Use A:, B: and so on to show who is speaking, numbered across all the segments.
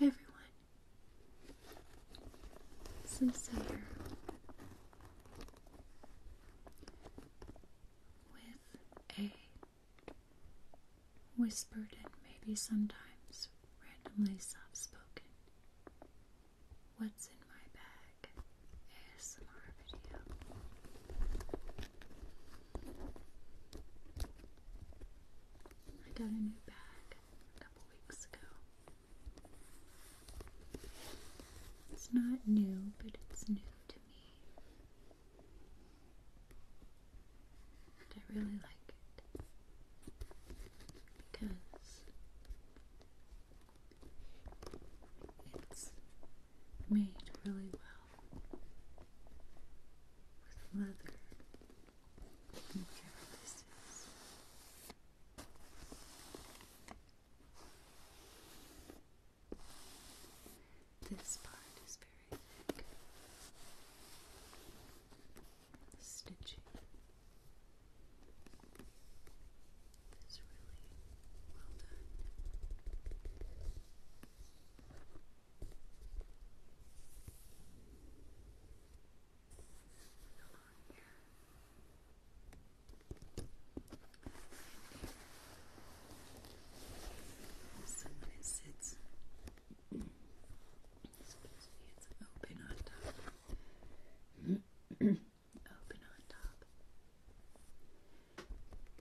A: everyone, since here with a whispered and maybe sometimes randomly soft spoken What's in My Bag ASMR video. I got a new bag a couple weeks ago. It's not new, but it's new to me. And I really like it because it's made really well with leather. Whatever this is. This part is very thick. stitching is really sits, it's open on top. open on top.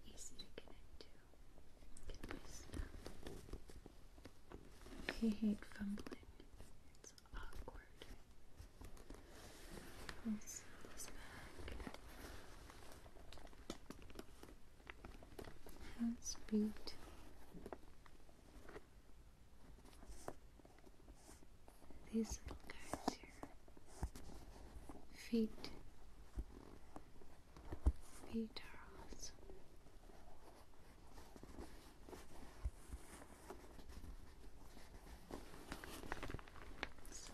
A: Easy to connect to. Get my stuff. I hate fumbling. It's awkward. let this back. That's beat these little guys here. Feet. Feet are awesome. So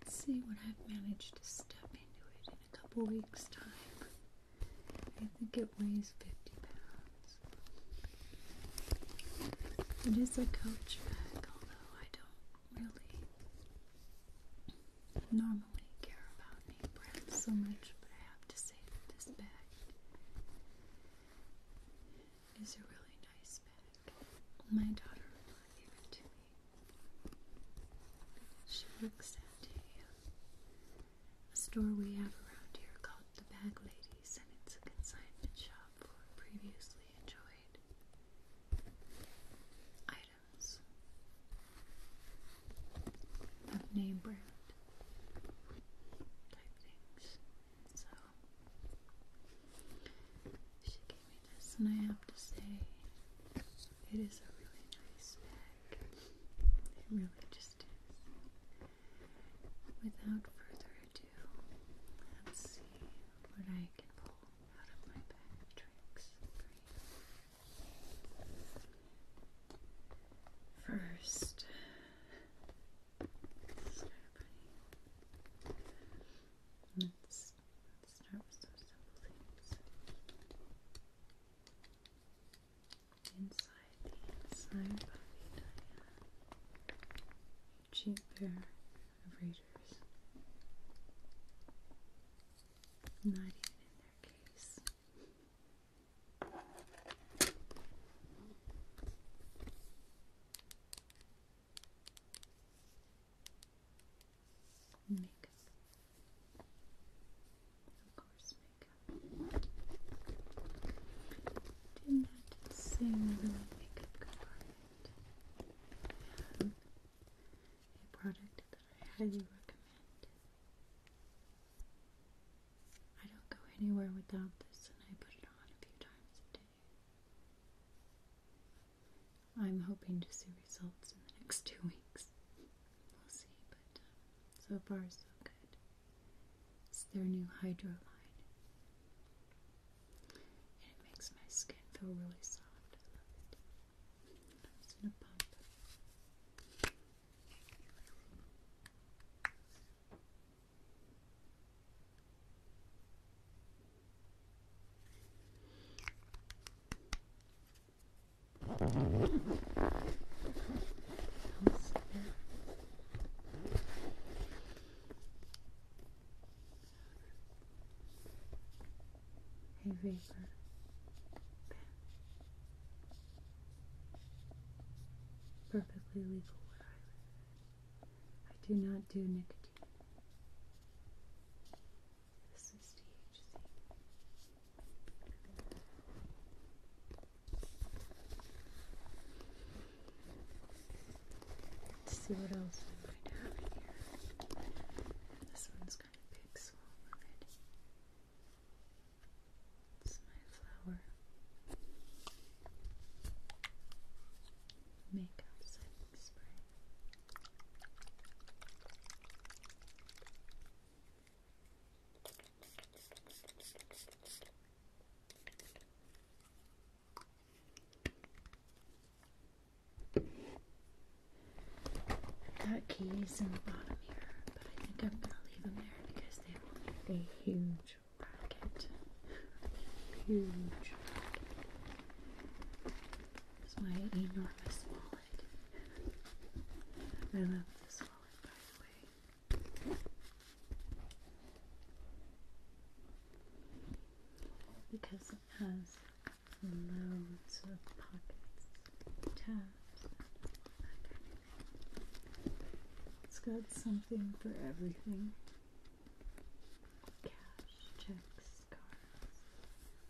A: let's see what I've managed to step into it in a couple weeks' time. I think it it is a coach bag, although I don't really normally care about name brands so much, but I have to say this bag is a really nice bag. My daughter gave it to me. She looks at a a store we have around here called The Bag Ladies, and it's a consignment shop for previously enjoyed items of name brand type things. So she gave me this, and I have to say, it is a really nice bag. It really just Without further ado, let's see what I can pull out of my bag of tricks First, let's start with some simple things inside the inside body a Cheap pair of readers. Not even in their case. Makeup of course, makeup. Did not sing the makeup compartment. I a product that I highly recommend. I don't go anywhere without this, and I put it on a few times a day. I'm hoping to see results in the next two weeks. We'll see, but um, so far so good. It's their new hydro And it makes my skin feel really soft. I love it. I'm just gonna pump. A vapor Perfectly legal where I live. I do not do nicotine. This is THC. Let's see what else we might have here. This one's kind of big, so I'll move it. It's my flower makeup setting spray. Got keys in the bottom here, but I think I'm gonna leave them there because they will make a huge packet. Huge This is my enormous wallet. I love this wallet, by the way. Because it has loads of pockets, tabs, that It's got something for everything cash, checks, cards,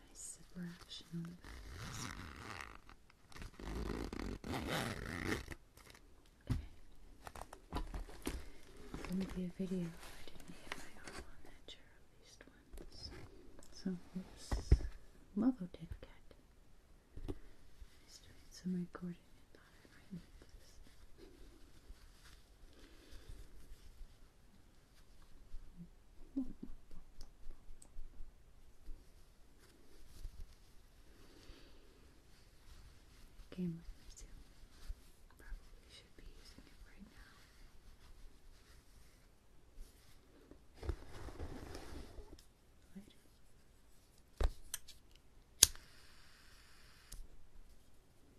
A: Nice zipper It's going to be a video I didn't hit my arm on that chair at least once. So, whoops, Mother did get. I was doing some recording and thought I might need this. Game Winner 2. Probably should be using it right now.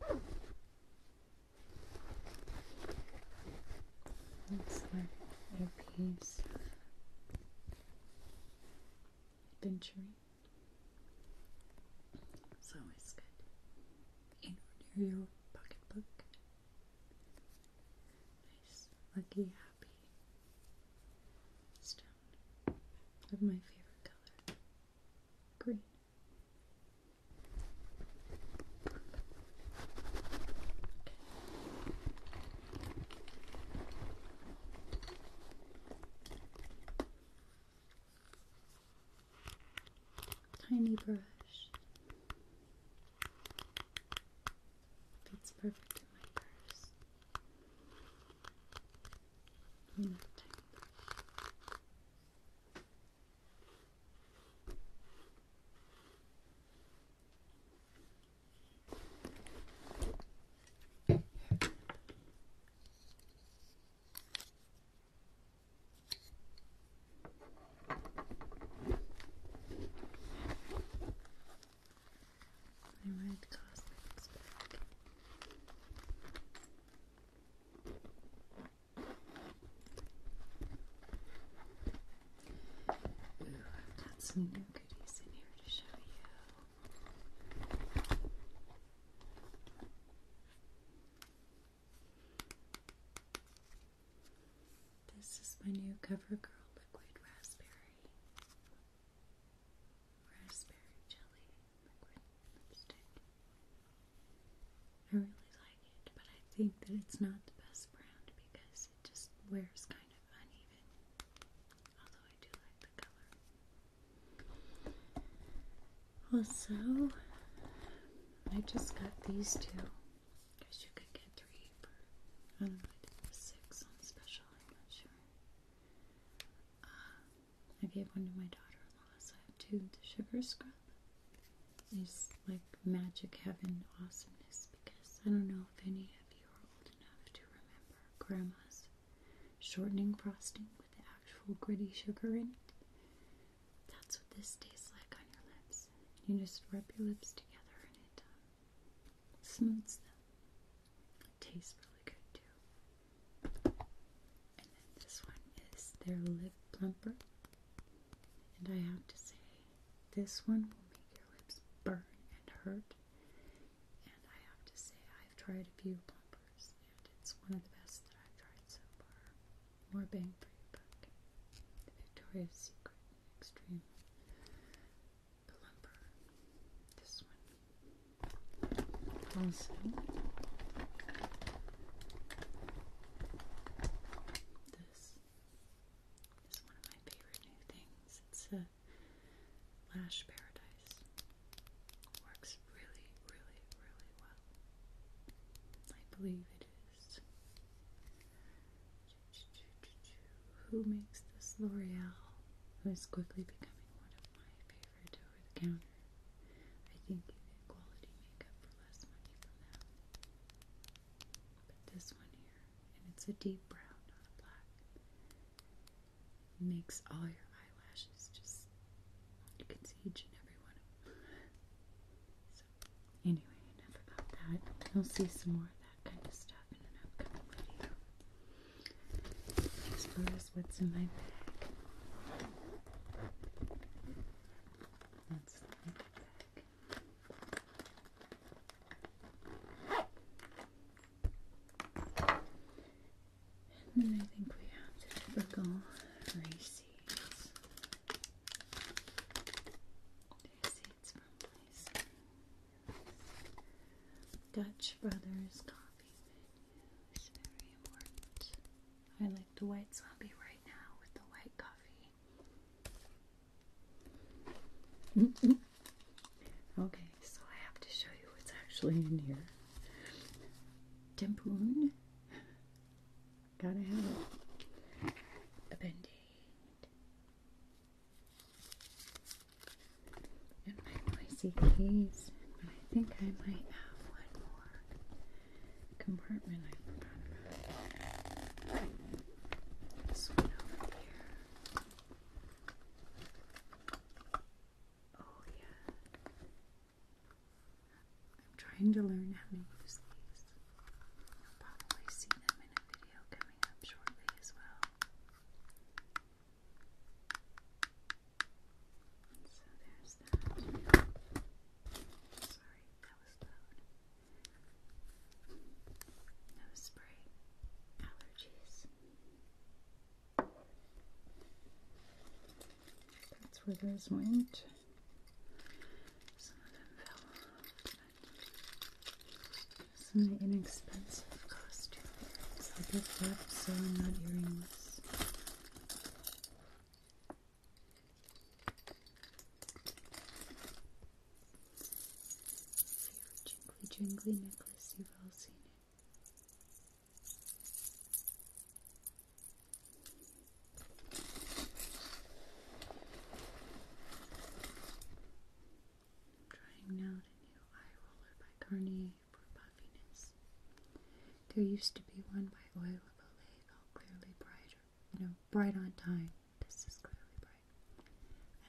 A: Later. Looks like a piece of dentury. It's always good. In your pocketbook. Nice, lucky, happy stone of my favorite color green. Tiny brush fits perfect in my purse. tiny I might cosmetics back. Ooh, I've got some new goodies in here to show you. This is my new CoverGirl Liquid Raspberry. Raspberry Jelly Liquid Lipstick. I really like it, but I think that it's not the best brand because it just wears kind of uneven. Although I do like the color. Also, I just got these two. Because you could get three for I don't know, six on special, I'm not sure. Uh, I gave one to my daughter in law, so I have two the sugar scrub is like magic heaven awesomeness because I don't know if any of you are old enough to remember grandma's shortening frosting with the actual gritty sugar in it. That's what this tastes like on your lips. You just rub your lips together and it um, smooths them. It tastes really good too. And then this one is their lip plumper. And I have to say, this one will make your lips burn and hurt. And I have to say, I've tried a few plumpers, and it's one of the best that I've tried so far. More bang for your buck. The Victoria's Secret Extreme Plumper. This one. Also, this is one of my favorite new things. It's a lash paradise. Works really, really, really well. I believe it is. Who makes this L'Oreal? Who is quickly becoming one of my favorite over the counter. I think you get quality makeup for less money from that, But this one here, and it's a deep brown, not a black, makes all your eyelashes just, you can see each and every one of them. so, anyway, enough about that. You'll see some more of that kind of stuff in an upcoming video. Thanks what's in my bag. And then I think we have typical races. Dutch Brothers Coffee I like the white zombie right now with the white coffee. Okay, so I have to show you what's actually in here. Tempoon. Gotta have it. A band and my noisy keys. But I think I might have one more compartment I forgot about. This one over here. Oh, yeah. I'm trying to learn how to use these. You'll probably see them in a video coming up shortly as well. So there's that. Sorry, that was loud. Nose spray. Allergies. That's where those went. Some of them fell Some inexpensive costumes. I picked up sewn this. Favorite jingly jingly necklace, you've all seen it. trying out a new eye roller by Cartier for puffiness. There used to be one by Oil of Olay all Clearly Brighter. You know, Bright on Time. This is Clearly Bright.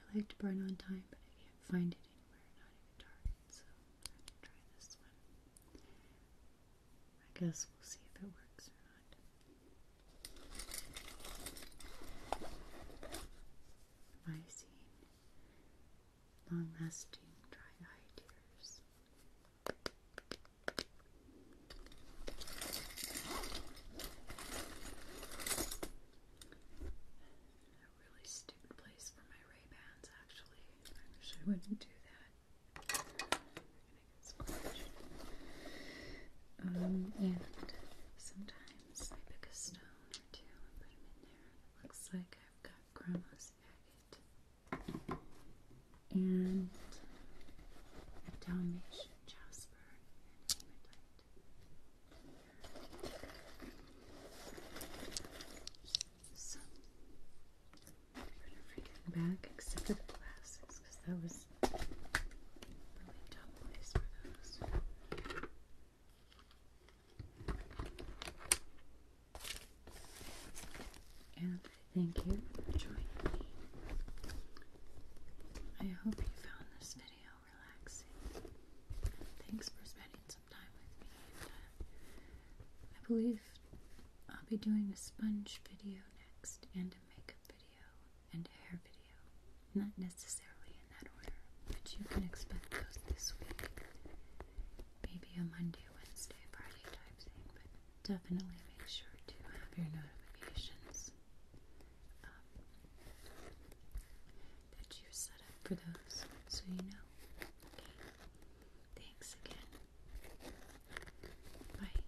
A: I liked Bright on Time, but I can't find it anywhere, not even Target, so i try this one. I guess we'll see if it works or not. Lysine long lasting dry eye tears. A really stupid place for my Ray Bans, actually. I wish I wouldn't do that. um, and sometimes I pick a stone or two and put them in there. Looks like I've got grandma's agate and a Dalmatian jasper and hematite. So put everything back except for the glasses because that was really dumb for those. And thank you for joining me. I hope you found this video relaxing. Thanks for spending some time with me. Uh, I believe I'll be doing a sponge video next, and a makeup video, and a hair video not necessarily in that order, but you can expect those this week. Maybe a Monday, Wednesday, Friday type thing, but definitely make sure to have your notifications um, that you set up for those so you know. Okay. Thanks again. Bye.